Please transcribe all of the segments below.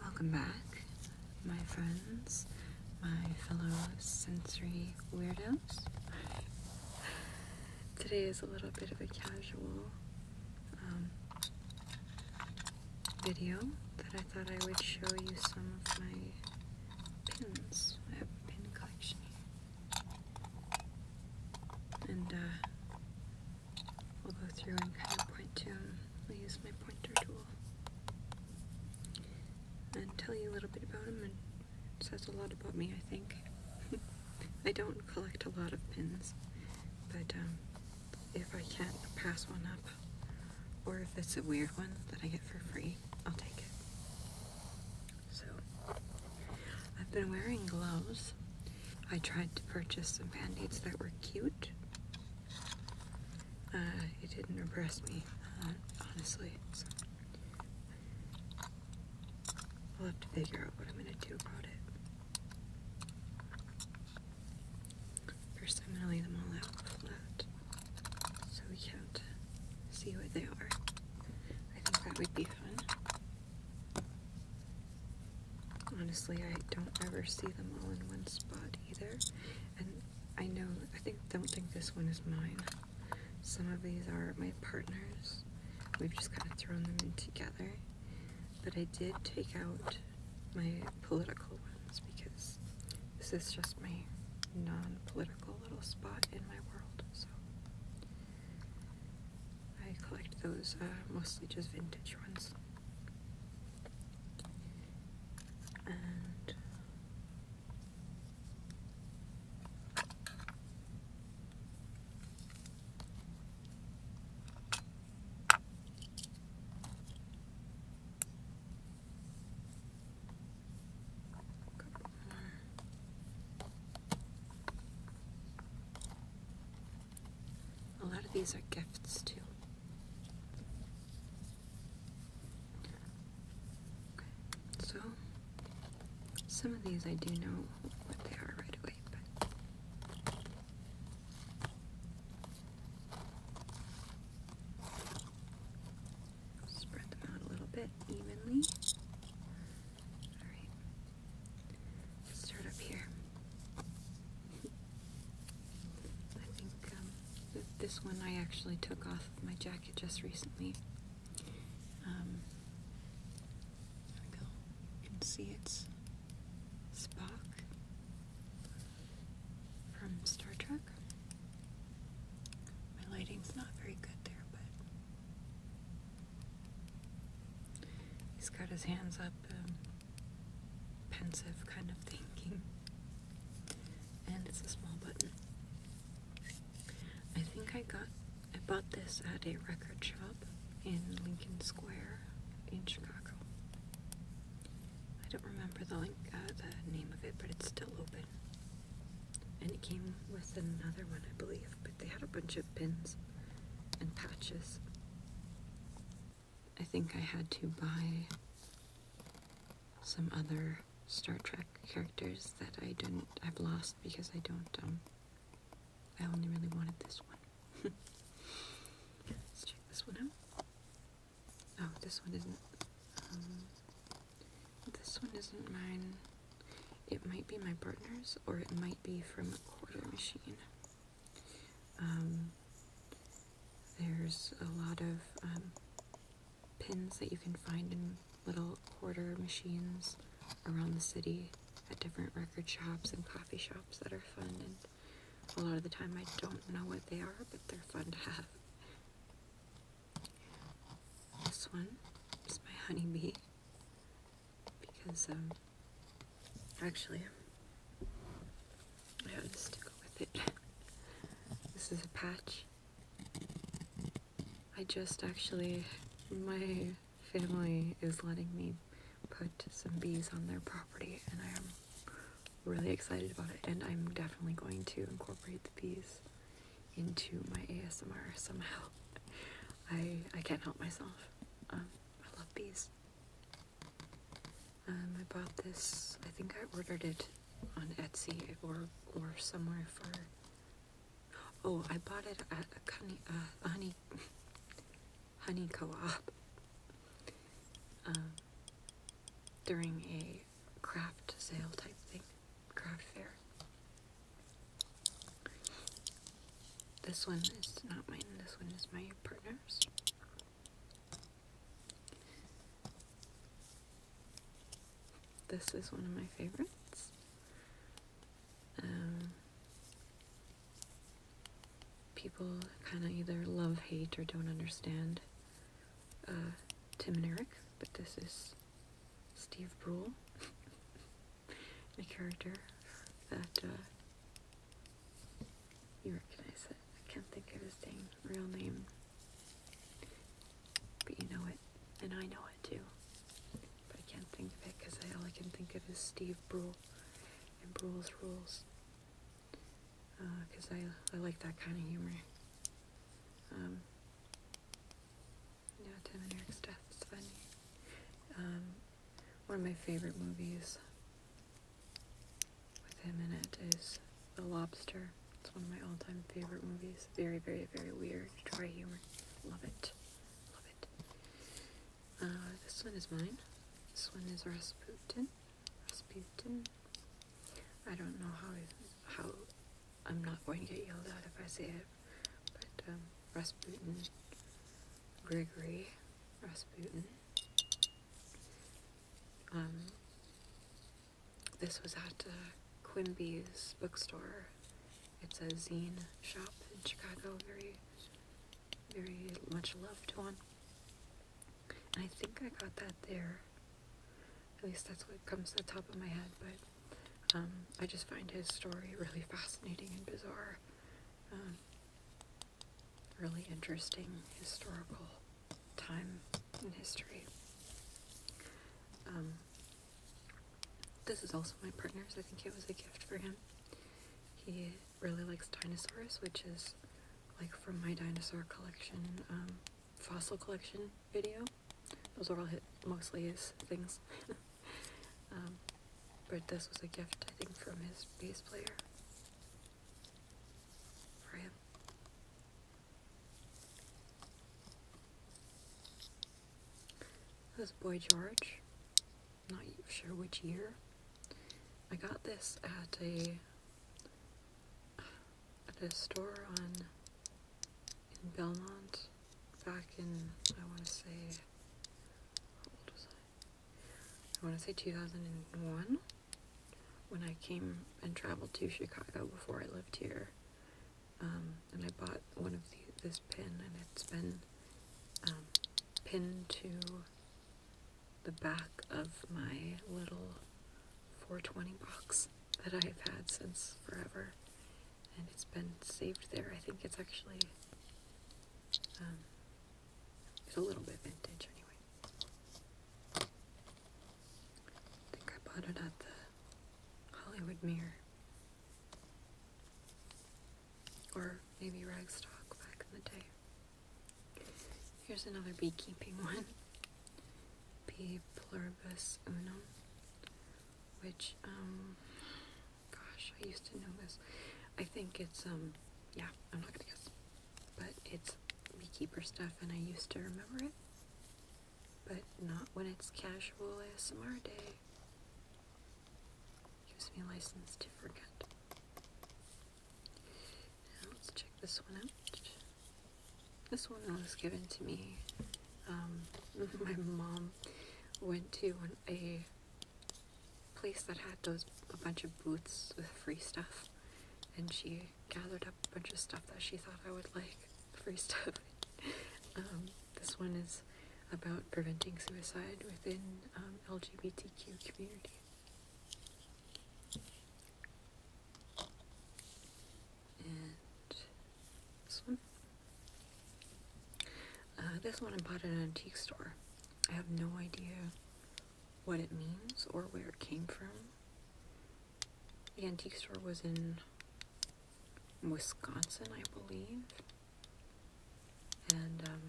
Welcome back, my friends, my fellow sensory weirdos. Today is a little bit of a casual um, video that I thought I would show you some of my pins. I have a pin collection here. And uh, we'll go through and kind of point to them. i use my pointer tool and tell you a little bit about them. And it says a lot about me, I think. I don't collect a lot of pins, but um, if I can't pass one up, or if it's a weird one that I get for free, I'll take it. So I've been wearing gloves. I tried to purchase some band-aids that were cute. Uh, it didn't impress me, uh, honestly. I'll have to figure out what I'm going to do about it. First, I'm going to lay them all out flat so we can't see what they are. I think that would be fun. Honestly, I don't ever see them all in one spot either. And I know, I think, don't think this one is mine. Some of these are my partner's. We've just kind of thrown them in together. But I did take out my political ones because this is just my non-political little spot in my world. So I collect those uh, mostly just vintage ones. A lot of these are gifts too. so some of these I do know what they are right away, but spread them out a little bit evenly. Alright. start up here. I think um, this one I actually took off my jacket just recently. Um, there we go. You can see it's Spock from Star Trek. My lighting's not very good there, but He's got his hands up, um, pensive kind of thinking. And it's a small button. I think I got, I bought this at a record shop in Lincoln Square in Chicago. I don't remember the link, uh, the name of it, but it's still open. And it came with another one, I believe, but they had a bunch of pins and patches. I think I had to buy some other Star Trek characters that I didn't, I've lost because I don't, um, I only really wanted this one. Let's check this one out. Oh, this one isn't, um, this one isn't mine. It might be my partner's or it might be from a quarter machine. Um, there's a lot of um, pins that you can find in little quarter machines around the city at different record shops and coffee shops that are fun and a lot of the time I don't know what they are but they're fun to have. This one is my honeybee because um, actually I had to go with it. This is a patch. I just actually, my family is letting me put some bees on their property and I am really excited about it and I'm definitely going to incorporate the bees into my ASMR somehow. I I can't help myself. Um, I love bees. Um, I bought this. I think I ordered it on Etsy or or somewhere for. Oh, I bought it at a honey uh, honey honey co-op um, during a craft sale type thing, craft fair. This one is not mine, this one is my partner's. This is one of my favorites. Um, people kind of either love, hate, or don't understand uh, Tim and Eric, but this is Steve Brule. a character that uh, you recognize it. I can't think of his name, real name, but you know it, and I know it too. But I can't think of it because all I can think of is Steve Brule and Brule's Rules, because uh, I I like that kind of humor. Um, yeah, Tim and Eric's death is funny. Um, one of my favorite movies with him in it is The Lobster. It's one of my all-time favorite movies. Very, very, very weird. Dry humor. Love it. Love it. Uh, this one is mine. This one is Rasputin. Rasputin. I don't know how, how I'm not going to get yelled at if I say it but um, Gregory, Grigory, Um, this was at uh, Quimby's bookstore. It's a zine shop in Chicago, very, very much loved one. I think I got that there. At least that's what comes to the top of my head, but um, I just find his story really fascinating and bizarre really interesting historical time in history. Um, this is also my partner's. I think it was a gift for him. He really likes dinosaurs, which is like from my dinosaur collection, um, fossil collection video. Those are all hit mostly his things. Um, but this was a gift, I think, from his bass player for him. This boy George, not sure which year. I got this at a at a store on in Belmont back in I want to say I? want to say 2001 when I came and traveled to Chicago before I lived here. Um, and I bought one of this pin, and it's been um, pinned to the back of my little 420 box that I have had since forever. And it's been saved there. I think it's actually um, it's a little bit vintage anyway. I think I bought it at the Hollywood Mirror. Or maybe Ragstock back in the day. Here's another beekeeping one. P. pluribus unum, which um, Gosh, I used to know this. I think it's, um, yeah, I'm not gonna guess. But it's beekeeper stuff, and I used to remember it. But not when it's casual ASMR day. Gives me license to forget. Now let's check this one out. This one was given to me. Um, my mom went to a place that had those a bunch of boots with free stuff, and she gathered up a bunch of stuff that she thought I would like. Free stuff. Um, this one is about preventing suicide within um, LGBTQ community. And this one. Uh, this one I bought at an antique store. I have no idea what it means or where it came from. The antique store was in Wisconsin, I believe. And um,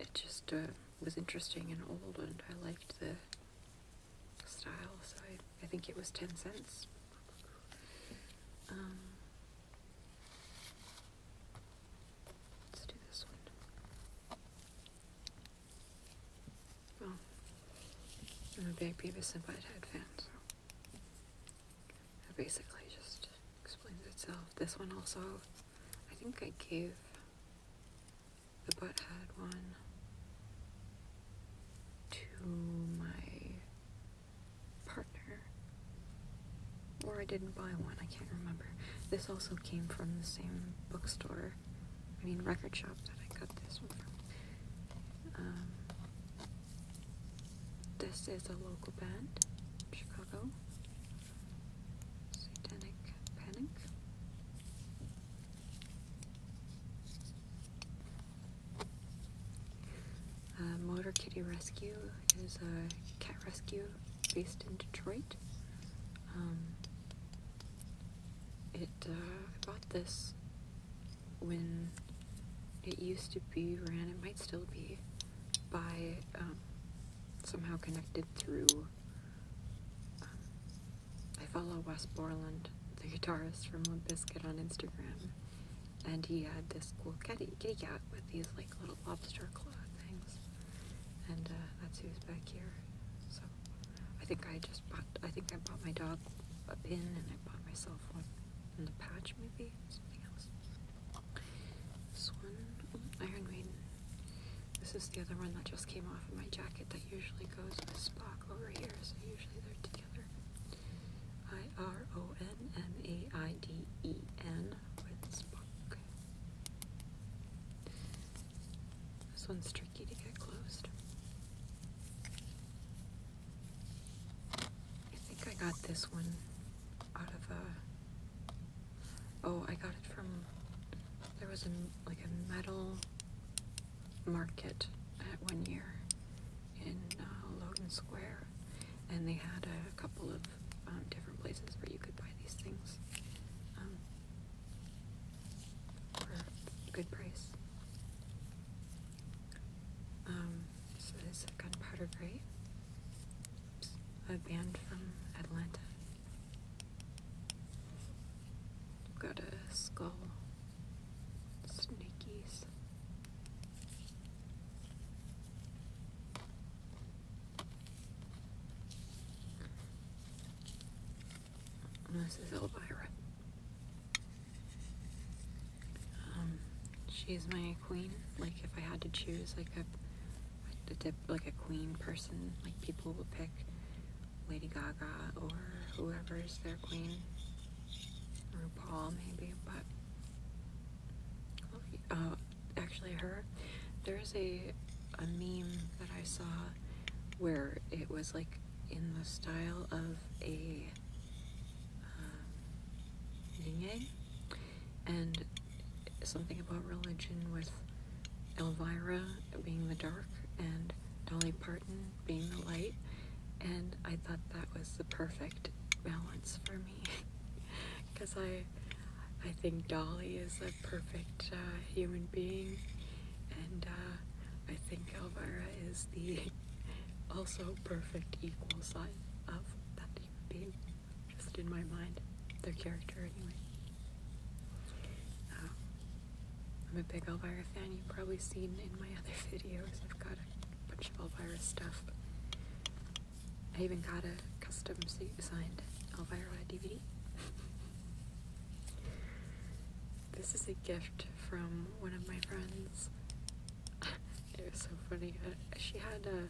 it just uh, was interesting and old, and I liked the style, so I, I think it was 10 cents. Um, Let's do this one. Well, I'm a big Beavis and Butthead fan, so basically just explains itself. This one also, I think I gave the butt head one to my partner. Or I didn't buy one, I can't remember. This also came from the same bookstore, I mean, record shop that I got this from. Um, this is a local band, Chicago. Satanic Panic. Uh, Motor Kitty Rescue is a cat rescue based in Detroit. Um, it uh, I bought this when it used to be ran. It might still be by um, somehow connected through. Um, I follow Wes Borland, the guitarist from Limp Bizkit, on Instagram, and he had this cool kitty, kitty cat with these like little lobster claw things, and uh, that's who's back here. So I think I just bought, I think I bought my dog a pin, and I bought myself one in the patch, maybe something else. This one, mm, Iron Maiden. This is the other one that just came off of my jacket that usually goes with Spock over here, so usually they're together. I R O N. Maiden, this one's tricky to get closed. I think I got this one out of a. Oh, I got it from. There was a like a metal market at one year in uh, Square, and they had a couple of um, different places where you could buy these things um, for a good price. Um, so this is Gunpowder Gray, a band from Atlanta. Got a skull, snakes, this is Elvira. Um, she's my queen. Like, if I had to choose, like a, like a queen person, like people would pick Lady Gaga or whoever is their queen. RuPaul, maybe, but uh, actually her, there's a, a meme that I saw where it was like in the style of a um, and something about religion with Elvira being the dark and Dolly Parton being the light and I thought that was the perfect balance for because I I think Dolly is a perfect uh, human being and uh, I think Elvira is the also perfect equal side of that human being just in my mind their character anyway um, I'm a big Elvira fan you've probably seen in my other videos I've got a bunch of Elvira stuff I even got a custom signed Elvira DVD. this is a gift from one of my friends. it was so funny. Uh, she had a. Uh,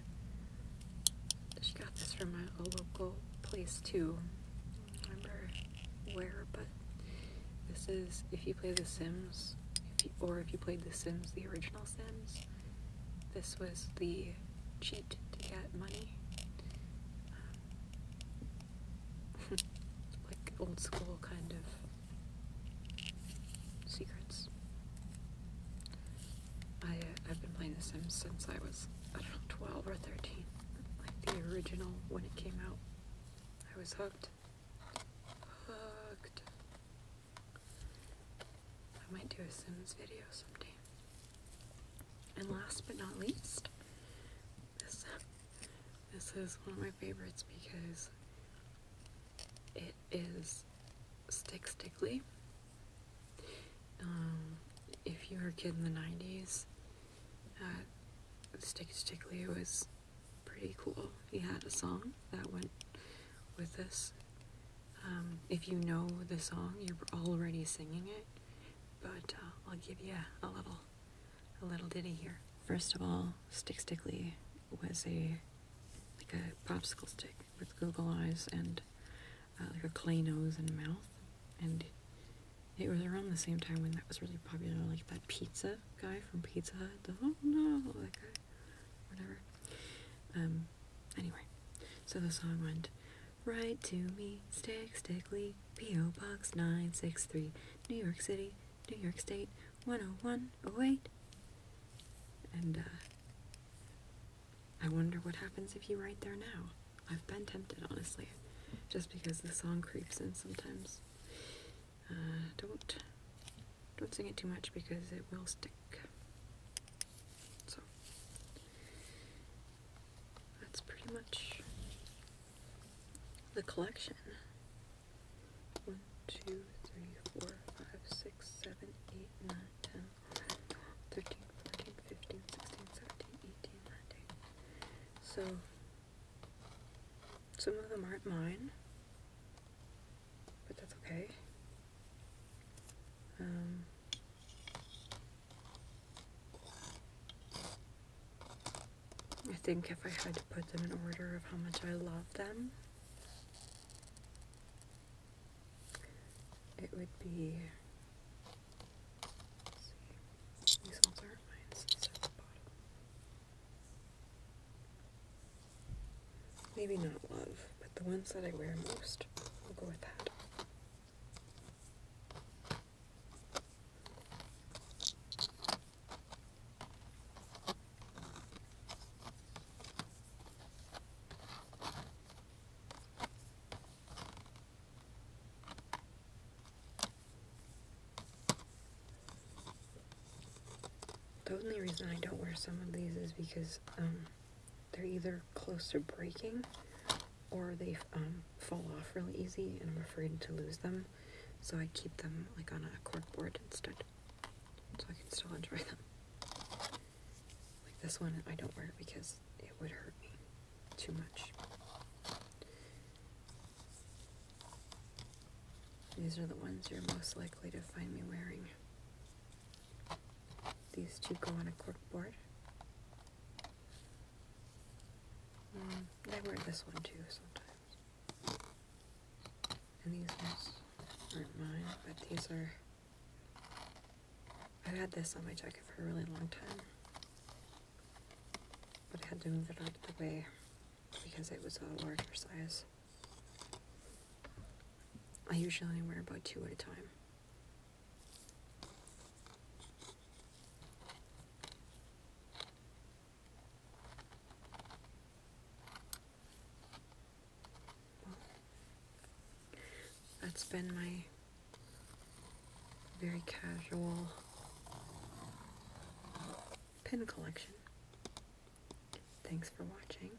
she got this from a, local place too. remember where, but this is if you play The Sims, or if you played The Sims, the original Sims this was the cheat to get money. Um, like old school kind of secrets. I, uh, I've been playing this Sims since I was, I don't know, 12 or 13. Like the original when it came out. I was hooked. Hooked. I might do a Sims video someday. And last but not least, this this is one of my favorites because it is Stick Stickly. Um, if you were a kid in the 90s, uh, Stick Stickly was pretty cool. He had a song that went with this, um, if you know the song, you're already singing it, but uh, I'll give you a little, a little ditty here. First of all, Stick Stickly was a like a popsicle stick with googly eyes and uh, like a clay nose and mouth, and it was around the same time when that was really popular, like that pizza guy from Pizza Hut. The, oh no, that guy whatever. Um, anyway, so the song went, Write to me, Stick stickly, P.O. Box 963, New York City, New York State, 10108. And, uh, I wonder what happens if you write there now. I've been tempted, honestly, just because the song creeps in sometimes. Uh, don't don't sing it too much because it will stick. So that's pretty much the collection. One, two, three, four, five, six, seven, eight, nine, ten, thirteen, fourteen, fifteen, sixteen, seventeen, eighteen, nineteen. So some of them aren't mine but that's okay. Um, I think if I had to put them in order of how much I love them, it would be. Maybe not love, but the ones that I wear most. We'll go with that. The only reason I don't wear some of these is because, um, they're either close to breaking or they um, fall off really easy and I'm afraid to lose them. So I keep them like on a cork board instead. So I can still enjoy them. Like this one, I don't wear it because it would hurt me too much. These are the ones you're most likely to find me wearing. These two go on a cork board. Um, mm, I wear this one too sometimes. And these ones aren't mine, but these are. I've had this on my jacket for a really long time. But I had to move it out of the way because it was a larger size. I usually only wear about two at a time. that's been my very casual pin collection. Thanks for watching.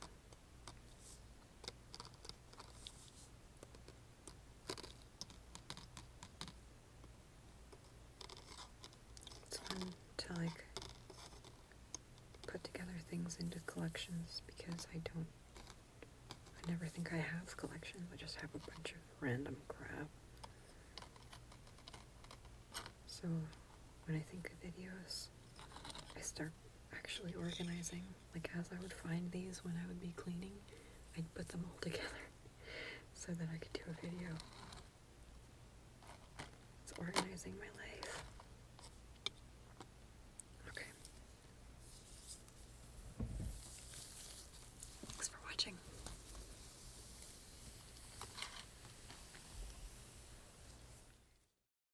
It's fun to like put together things into collections because I don't I never think I have collections. I just have a bunch of random crap. So when I think of videos, I start actually organizing. Like, as I would find these when I would be cleaning, I'd put them all together so that I could do a video. It's organizing my life. Okay. Thanks for watching.